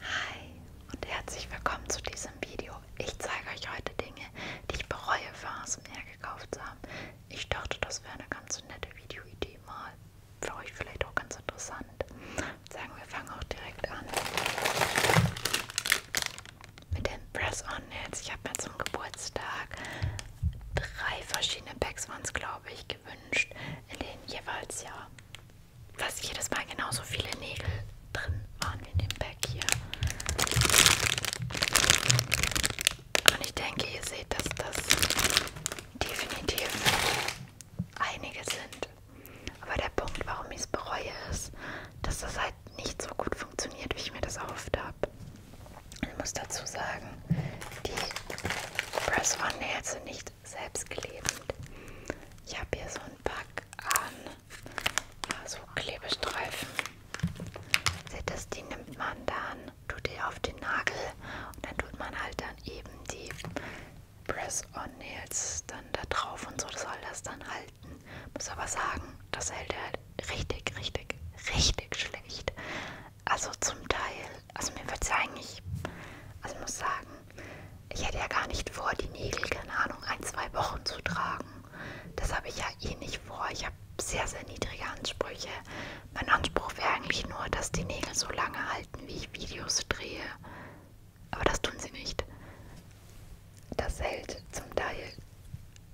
Hi und herzlich willkommen zu diesem Video. Ich zeige euch heute Dinge, die ich bereue für ASMR gekauft zu haben. Ich dachte, das wäre eine ganz nette Videoidee mal. Für euch vielleicht auch ganz interessant. Ich sagen wir fangen auch direkt an mit den Press-On-Hits. Ich habe mir zum Geburtstag drei verschiedene Packs waren es, glaube ich, gewünscht, in denen jeweils ja fast jedes Mal genauso viele Nägel drin waren in dem Pack hier. Und ich denke, ihr seht, dass das definitiv einige sind. Aber der Punkt, warum ich es bereue, ist, dass das halt nicht so gut funktioniert, wie ich mir das erhofft habe. Ich muss dazu sagen, die Press One Nails sind nicht nicht selbstklebend. Ich habe hier so ein Pack an so Klebestreifen. Seht das, die nimmt man dann, tut die auf den Nagel und dann tut man halt dann eben die Press-on-Nails dann da drauf und so soll das dann halten. Muss aber sagen, das hält er halt richtig, richtig, richtig schlecht. Also zum Teil also mir würde es eigentlich, also muss sagen, ich hätte ja gar nicht vor, die Nägel, keine Ahnung, ein, zwei Wochen zu tragen. Das habe ich ja eh nicht vor. Ich habe sehr, sehr niedrige Ansprüche. Mein Anspruch wäre eigentlich nur, dass die Nägel so lange halten, wie ich Videos drehe. Aber das tun sie nicht. Das hält zum Teil,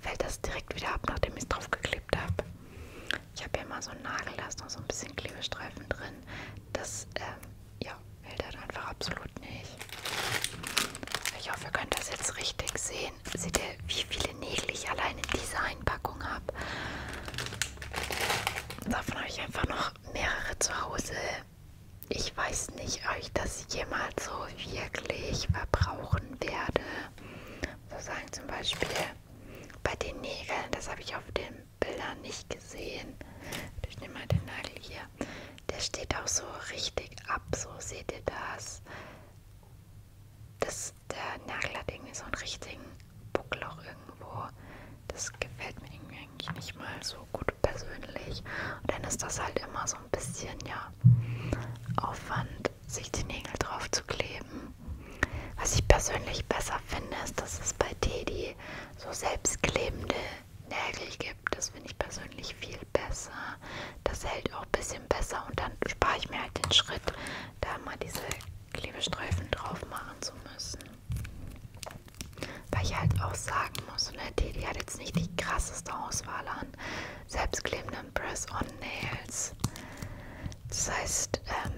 fällt das direkt wieder ab, nachdem ich es drauf geklebt habe. Ich habe ja mal so einen Nagel, da ist noch so ein bisschen Klebestreifen drin. Das ähm, ja, will das einfach absolut nicht. Ich hoffe, ihr könnt das jetzt richtig sehen. Seht ihr, wie viele Nägel ich allein in dieser Einpackung habe? Davon habe ich einfach noch mehrere zu Hause. Ich weiß nicht, ob ich das jemals so wirklich verbrauchen werde. So sagen zum Beispiel bei den Nägeln, das habe ich auf dem Bildern nicht gesehen. Ich nehme mal den Nagel hier. Der steht auch so richtig ab. So seht ihr das. das der Nagel hat irgendwie so einen richtigen Buckloch irgendwo. Das gefällt mir irgendwie eigentlich nicht mal so gut persönlich. Und dann ist das halt immer so ein bisschen, ja, Aufwand, sich die Nägel drauf zu kleben. Was ich persönlich besser finde, ist, dass es bei Teddy so selbstklebende Nägel gibt. Das finde ich persönlich viel besser. Das hält auch ein bisschen besser und dann spare ich mir halt den Schritt, da mal diese Klebestreifen drauf machen zu müssen. Weil ich halt auch sagen muss, ne, Teddy hat jetzt nicht die krasseste Auswahl an selbstklebenden Press-on-Nails. Das heißt, ähm,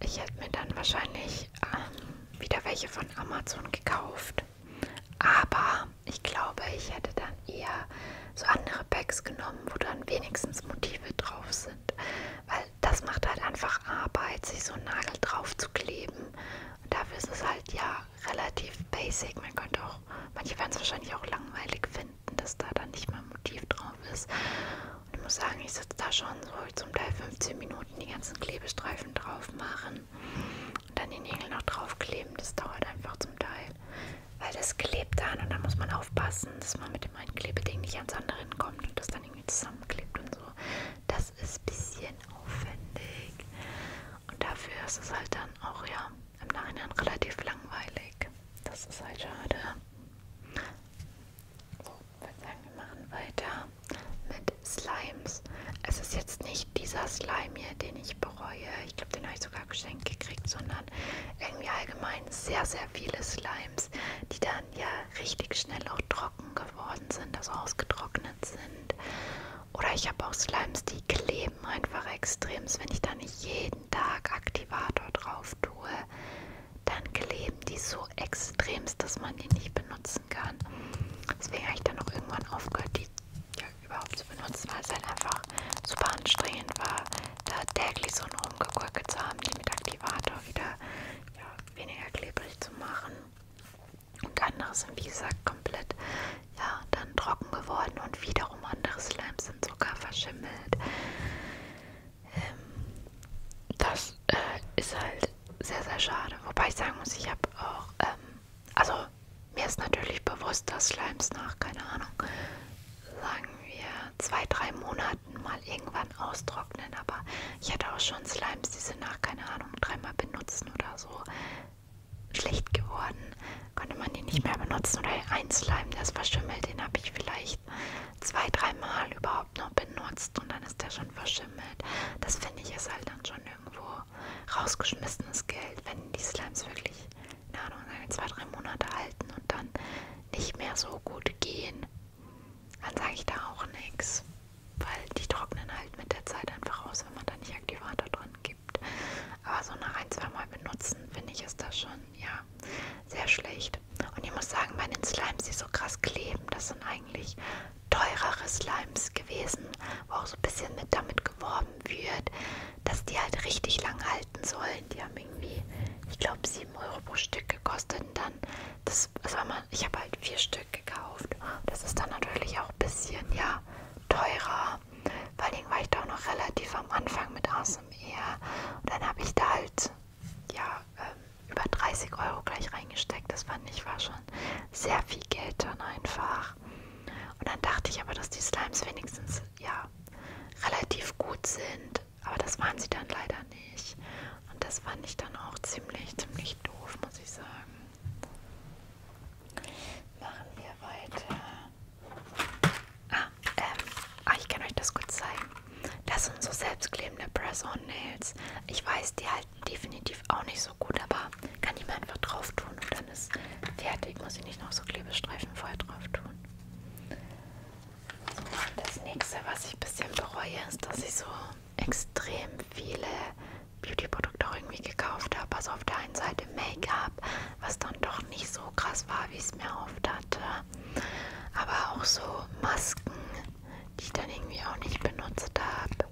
ich hätte mir dann wahrscheinlich ähm, wieder welche von Amazon gekauft. Aber ich glaube, ich hätte dann eher so andere Bags genommen, wo dann wenigstens Motive drauf sind. Weil das macht halt einfach Arbeit, sich so einen Nagel drauf zu kleben. Und dafür ist es halt ja relativ basic. Man könnte auch, manche werden es wahrscheinlich auch langweilig finden, dass da dann nicht mal ein Motiv drauf ist. Und ich muss sagen, ich sitze da schon so zum Teil 15 Minuten, die ganzen Klebestreifen drauf machen und dann die Nägel noch draufkleben. Das dauert einfach zum Teil, weil das klebt dann und dann muss man aufpassen, dass man mit dem einen Klebeding nicht ans andere kommt und das dann irgendwie zusammenklebt und so. Das ist ein bisschen aufwendig und dafür ist es halt dann auch ja im Nachhinein relativ langweilig. Das ist halt schade. So, ich würde sagen, wir machen weiter mit Slimes. Es ist jetzt nicht dieser Slime hier, den ich bereue. Ich glaube, den habe ich sogar geschenkt gekriegt, sondern irgendwie allgemein sehr, sehr viele Slimes, die dann ja richtig schnell auch trocken geworden sind, also ausgetrocknet sind. Oder ich habe auch Slimes, die kleben einfach extremst, wenn ich da nicht jeden Tag Aktivator drauf tue dann kleben die so extremst, dass man die nicht benutzen kann. Deswegen habe ich dann auch irgendwann aufgehört, die ja, überhaupt zu benutzen, weil es halt einfach super anstrengend war, da täglich so einen rumgekurke zu haben, die mit Aktivator wieder ja, weniger klebrig zu machen. Und andere sind, wie gesagt, komplett ja, dann trocken geworden und wiederum andere Slimes sind sogar verschimmelt. Ähm, das äh, ist halt sehr, sehr schade. Wobei ich sagen muss, ich habe auch, ähm, also mir ist natürlich bewusst, dass Slimes nach, keine Ahnung, sagen wir zwei, drei Monaten mal irgendwann austrocknen. Aber ich hatte auch schon Slimes, die sind nach, keine Ahnung, dreimal benutzen oder so schlecht geworden. Konnte man die nicht mehr benutzen. Oder ein Slime, der ist verschimmelt, den habe ich vielleicht wirklich zwei, dreimal überhaupt noch benutzt und dann ist der schon verschimmelt. Das finde ich ist halt dann schon irgendwo rausgeschmissenes Geld, wenn die Slimes wirklich, na Ahnung, zwei, drei Monate halten und dann nicht mehr so gut gehen. Dann sage ich da auch nichts, weil die trocknen halt mit der Zeit einfach aus, wenn man da nicht Aktivator dran gibt. Aber so nach ein, zwei Mal benutzen, finde ich, ist das schon machen. Ja, sehr schlecht. Und ich muss sagen, bei den Slimes, die so krass kleben, das sind eigentlich teurere Slimes gewesen, wo auch so ein bisschen mit damit geworben wird, dass die halt richtig lang halten sollen. Die haben irgendwie, ich glaube, 7 Euro pro Stück gekostet. Und dann, das, das war mal, ich habe halt vier Stück gekauft. Das ist dann natürlich auch ein bisschen, ja, teurer. Vor allem war ich da auch noch relativ am Anfang mit ASMR. Und dann habe ich da halt, ja, ähm, über 30 Euro gleich reingesteckt. Das fand ich war schon sehr viel Geld dann einfach. Und dann dachte ich aber, dass die Slimes wenigstens ja relativ gut sind. Aber das waren sie dann leider nicht. Und das fand ich dann auch ziemlich, ziemlich doof, muss ich sagen. Machen wir weiter. Ah, ähm, ah, ich kann euch das gut zeigen. Das sind so selbstklebende Press-on-Nails. Ich weiß, die halten definitiv auch nicht so gut, aber kann ich mir einfach drauf tun und dann ist fertig. Muss ich nicht noch so Klebestreifen vorher drauf tun. So, das nächste, was ich ein bisschen bereue, ist, dass ich so extrem viele Beauty-Produkte auch irgendwie gekauft habe. Also auf der einen Seite Make-up, was dann doch nicht so krass war, wie ich es mir erhofft hatte aber auch so Masken, die ich dann irgendwie auch nicht benutzt habe.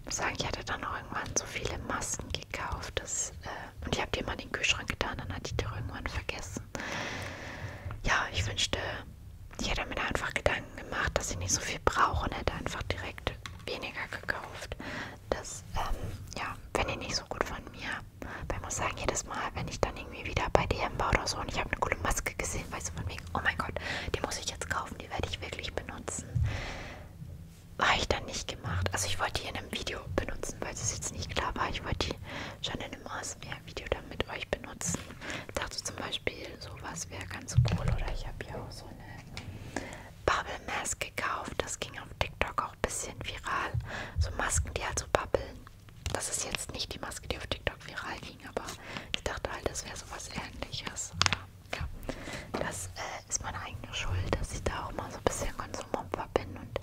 Ich muss sagen, ich hatte dann auch irgendwann so viele Masken gekauft dass, äh, und ich habe die immer in den Kühlschrank getan, dann hatte ich die irgendwann vergessen. Ja, ich wünschte, ich hätte mir einfach Gedanken gemacht, dass ich nicht so viel brauche und hätte einfach direkt weniger gekauft. Das, ähm, ja, wenn ihr nicht so gut von mir aber ich muss sagen, jedes Mal, wenn ich dann irgendwie wieder bei DM war oder so und ich habe eine coole Maske gesehen, weißt du, von wegen, oh mein Gott, die muss ich jetzt kaufen, die werde ich wirklich benutzen. War ich dann nicht gemacht. Also ich wollte die in einem Video benutzen, weil es jetzt nicht klar war. Ich wollte die schon in einem ASMR-Video dann mit euch benutzen. Ich dachte zum Beispiel, sowas wäre ganz cool. Oder ich habe ja auch so eine Bubble Mask gekauft. Das ging auf TikTok auch ein bisschen viral. So Masken, die halt so babbeln. Das ist jetzt nicht die Maske, die auf TikTok viral ging, aber ich dachte halt, das wäre sowas ähnliches. Ja, ja. Das äh, ist meine eigene Schuld, dass ich da auch mal so ein bisschen Konsumopfer bin und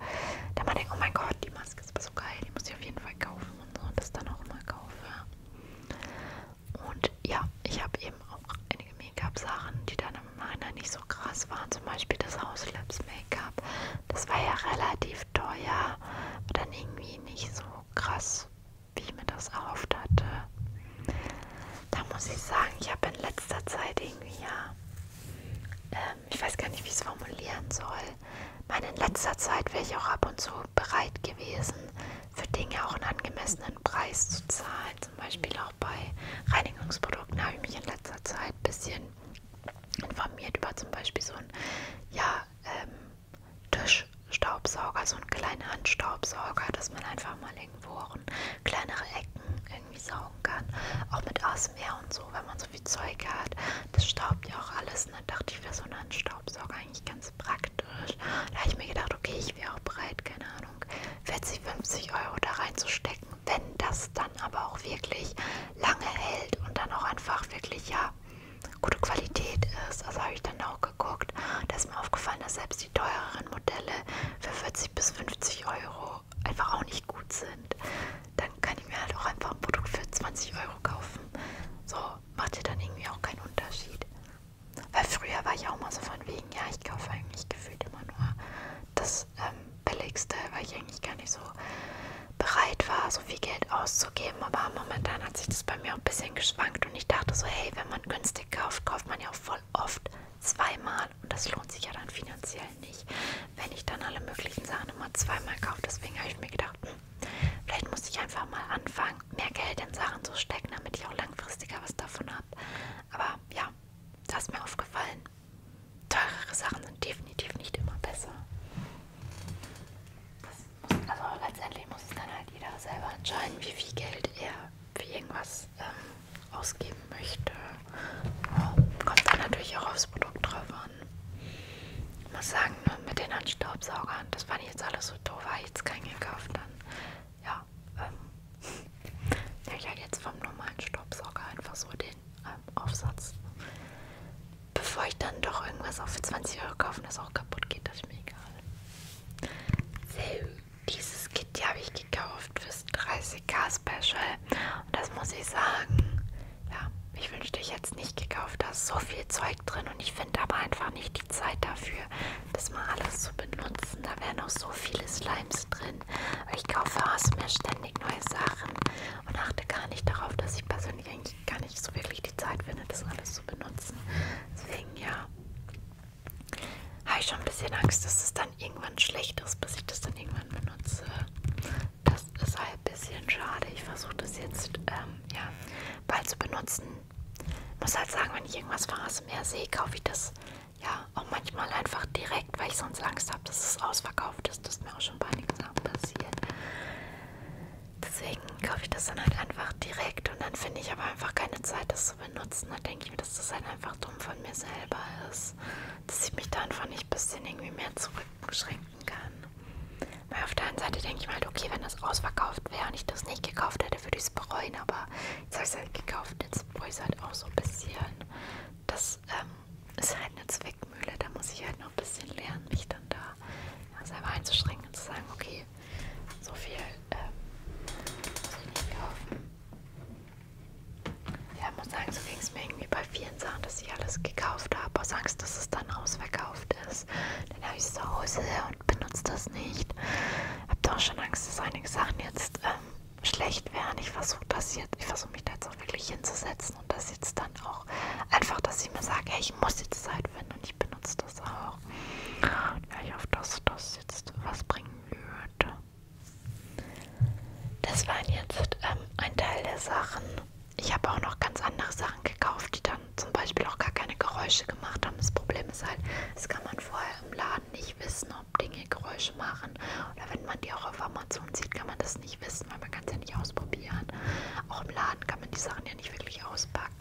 da mal denke, oh mein Gott, die Maske ist aber so geil, die muss ich auf jeden Fall kaufen und so und das dann auch mal kaufe. Und ja, ich habe eben auch einige Make-up-Sachen, die dann im Nachhinein nicht so krass waren, zum Beispiel das Hauslips Make-up. Das war ja relativ teuer, aber dann irgendwie nicht so krass, wie ich mir das erhofft hatte. Da muss ich sagen, ich habe in letzter Zeit irgendwie ja, ähm, ich weiß gar nicht, wie ich es formulieren soll. Meine, in letzter Zeit wäre ich auch ab und zu bereit gewesen, für Dinge auch einen angemessenen Preis zu zahlen. Zum Beispiel auch bei Reinigungsprodukten habe ich mich in letzter Zeit ein bisschen informiert über zum Beispiel so einen ja, ähm, Tischstaubsauger, so einen kleinen Handstaubsauger, dass man einfach mal irgendwo auch in kleinere Ecken irgendwie saugen kann. Auch mit ASMR und so, wenn man so viel Zeug hat, das staubt ja auch alles. Und ne? dann dachte ich, wäre so ein Handstaubsauger eigentlich ganz praktisch. Da habe ich mir gedacht, okay, ich wäre auch bereit, keine Ahnung, 40, 50 Euro da reinzustecken wenn das dann aber auch wirklich lange hält und dann auch einfach wirklich ja gute Qualität ist, also habe ich dann auch geguckt, da ist mir aufgefallen, dass selbst die teureren Modelle für 40 bis 50 Euro einfach auch nicht gut sind, dann kann ich mir halt auch einfach ein Produkt für 20 Euro kaufen. So macht ja dann irgendwie auch keinen Unterschied. Weil früher war ich auch mal so von wegen, ja, ich kaufe eigentlich gefühlt immer nur das ähm, billigste, weil ich eigentlich gar nicht so bereit war, so viel Geld auszugeben. Aber momentan hat sich das bei mir auch ein bisschen geschwankt und ich dachte so, hey, wenn man günstig kauft, kauft man ja auch voll oft zweimal und das lohnt sich ja dann finanziell nicht, wenn ich dann alle möglichen Sachen immer zweimal kaufe. Deswegen habe ich mir gedacht, hm, vielleicht muss ich einfach mal anfangen, mehr Geld in Sachen zu stecken, damit ich auch langfristiger was davon habe. Aber ja, das ist mir aufgefallen teurere Sachen sind definitiv nicht immer besser. Das muss, also letztendlich muss es dann halt jeder selber entscheiden, wie viel Geld er für irgendwas ähm, ausgeben möchte. Kommt dann natürlich auch aufs Produkt drauf an. Ich muss sagen, ne, mit den Handstaubsaugern, das fand ich jetzt alles so doof, habe ich jetzt keinen gekauft. Dann, ja, ähm, ich habe halt jetzt vom normalen Staubsauger einfach so den Aufsatz. Bevor ich dann doch irgendwas auch für 20 Euro kaufen, das auch kaputt geht, das ist mir egal. So, dieses Kitty habe ich gekauft fürs 30k Special. Und das muss ich sagen, ja, ich wünschte, ich hätte es nicht gekauft. Da ist so viel Zeug drin und ich finde aber einfach nicht die Zeit dafür, das mal alles zu benutzen. Da wären auch so viele Slimes drin bin. Weil ich kaufe aus mir ständig neue Sachen und achte gar nicht darauf, dass ich persönlich eigentlich gar nicht so wirklich die Zeit finde, das alles zu benutzen. Deswegen ja, habe ich schon ein bisschen Angst, dass es dann irgendwann schlecht ist, bis ich das dann irgendwann benutze. Das ist halt ein bisschen schade. Ich versuche das jetzt ähm, ja, bald zu benutzen. Ich muss halt sagen, wenn ich irgendwas von ASMR sehe, kaufe ich das ja, auch manchmal einfach direkt, weil ich sonst Angst habe, dass es ausverkauft ist. Das ist mir auch schon bei nichts passiert. Deswegen kaufe ich das dann halt einfach direkt und dann finde ich aber einfach keine Zeit, das zu benutzen. Da denke ich mir, dass das halt einfach dumm von mir selber ist. Dass ich mich da einfach nicht ein bisschen irgendwie mehr zurückschränken kann. Weil auf der einen Seite denke ich mir halt, okay, wenn das ausverkauft wäre und ich das nicht gekauft hätte, würde ich es bereuen. Aber jetzt habe ich es halt gekauft, jetzt bereue ich es halt auch so ein bisschen. Das das ähm, ist halt eine Zwickmühle. Da muss ich halt noch ein bisschen lernen, mich dann da ja, selber einzuschränken und zu sagen, okay, so viel ähm, muss ich nicht kaufen. Ja, ich muss sagen, so ging es mir irgendwie bei vielen Sachen, dass ich alles gekauft habe, aus Angst, dass es dann ausverkauft ist. Dann habe ich es zu Hause und benutze das nicht. Habe da auch schon Angst, dass einige Sachen jetzt ähm, schlecht werden. Ich versuche das jetzt, ich versuche mich da jetzt auch wirklich hinzusetzen und das jetzt dann auch einfach, dass ich mir sage, hey, ich muss jetzt Zeit finden und ich benutze das auch. Ja, ich hoffe, dass das jetzt was bringen würde. Das waren jetzt ähm, ein Teil der Sachen. Ich habe auch noch ganz andere Sachen gekauft, die dann zum Beispiel auch gar keine Geräusche gemacht haben. Das Problem ist halt, das kann man vorher im Laden nicht wissen, ob Dinge Geräusche machen. Oder wenn man die auch auf Amazon sieht, kann man das nicht wissen, weil man kann es ja nicht ausprobieren. Auch im Laden kann man die Sachen ja nicht wirklich auspacken.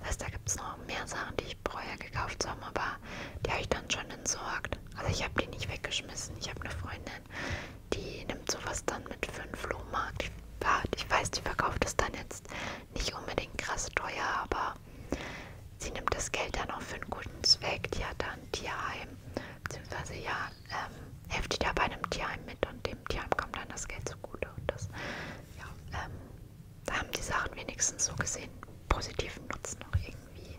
Das heißt, da gibt es noch mehr Sachen, die ich vorher gekauft zu haben, aber die habe ich dann schon entsorgt. Also ich habe die nicht weggeschmissen. Ich habe eine Freundin, die nimmt sowas dann mit für einen Flohmarkt. Ich, ich weiß, die verkauft es dann jetzt nicht unbedingt krass teuer, aber Sie nimmt das Geld dann auch für einen guten Zweck. Die hat dann ein Tierheim, beziehungsweise ja, ähm, hilft die da bei einem Tierheim mit und dem Tierheim kommt dann das Geld zugute. Und das, ja, ähm, da haben die Sachen wenigstens so gesehen positiven Nutzen noch irgendwie.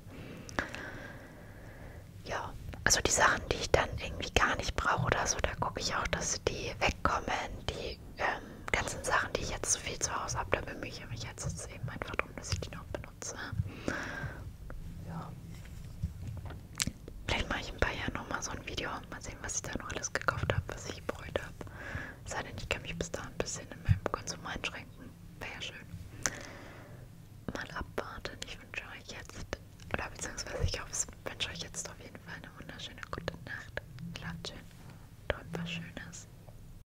Ja, also die Sachen, die ich dann irgendwie gar nicht brauche oder so, da gucke ich auch, dass die wegkommen. Die ähm, ganzen Sachen, die ich jetzt zu so viel zu Hause habe, da bemühe ich mich jetzt, jetzt eben einfach drum, dass ich die noch benutze benutze. Ja. Vielleicht mache ich ein paar Jahren nochmal so ein Video. Mal sehen, was ich da noch alles gekauft habe, was ich bereut habe. Sei denn, ich kann mich bis da ein bisschen in meinem Konsum einschränken. Wäre ja schön. Mal abwarten. Ich wünsche euch jetzt, oder beziehungsweise ich hoffe, ich wünsche euch jetzt auf jeden Fall eine wunderschöne gute Nacht. Klappt schön. Träumt was Schönes.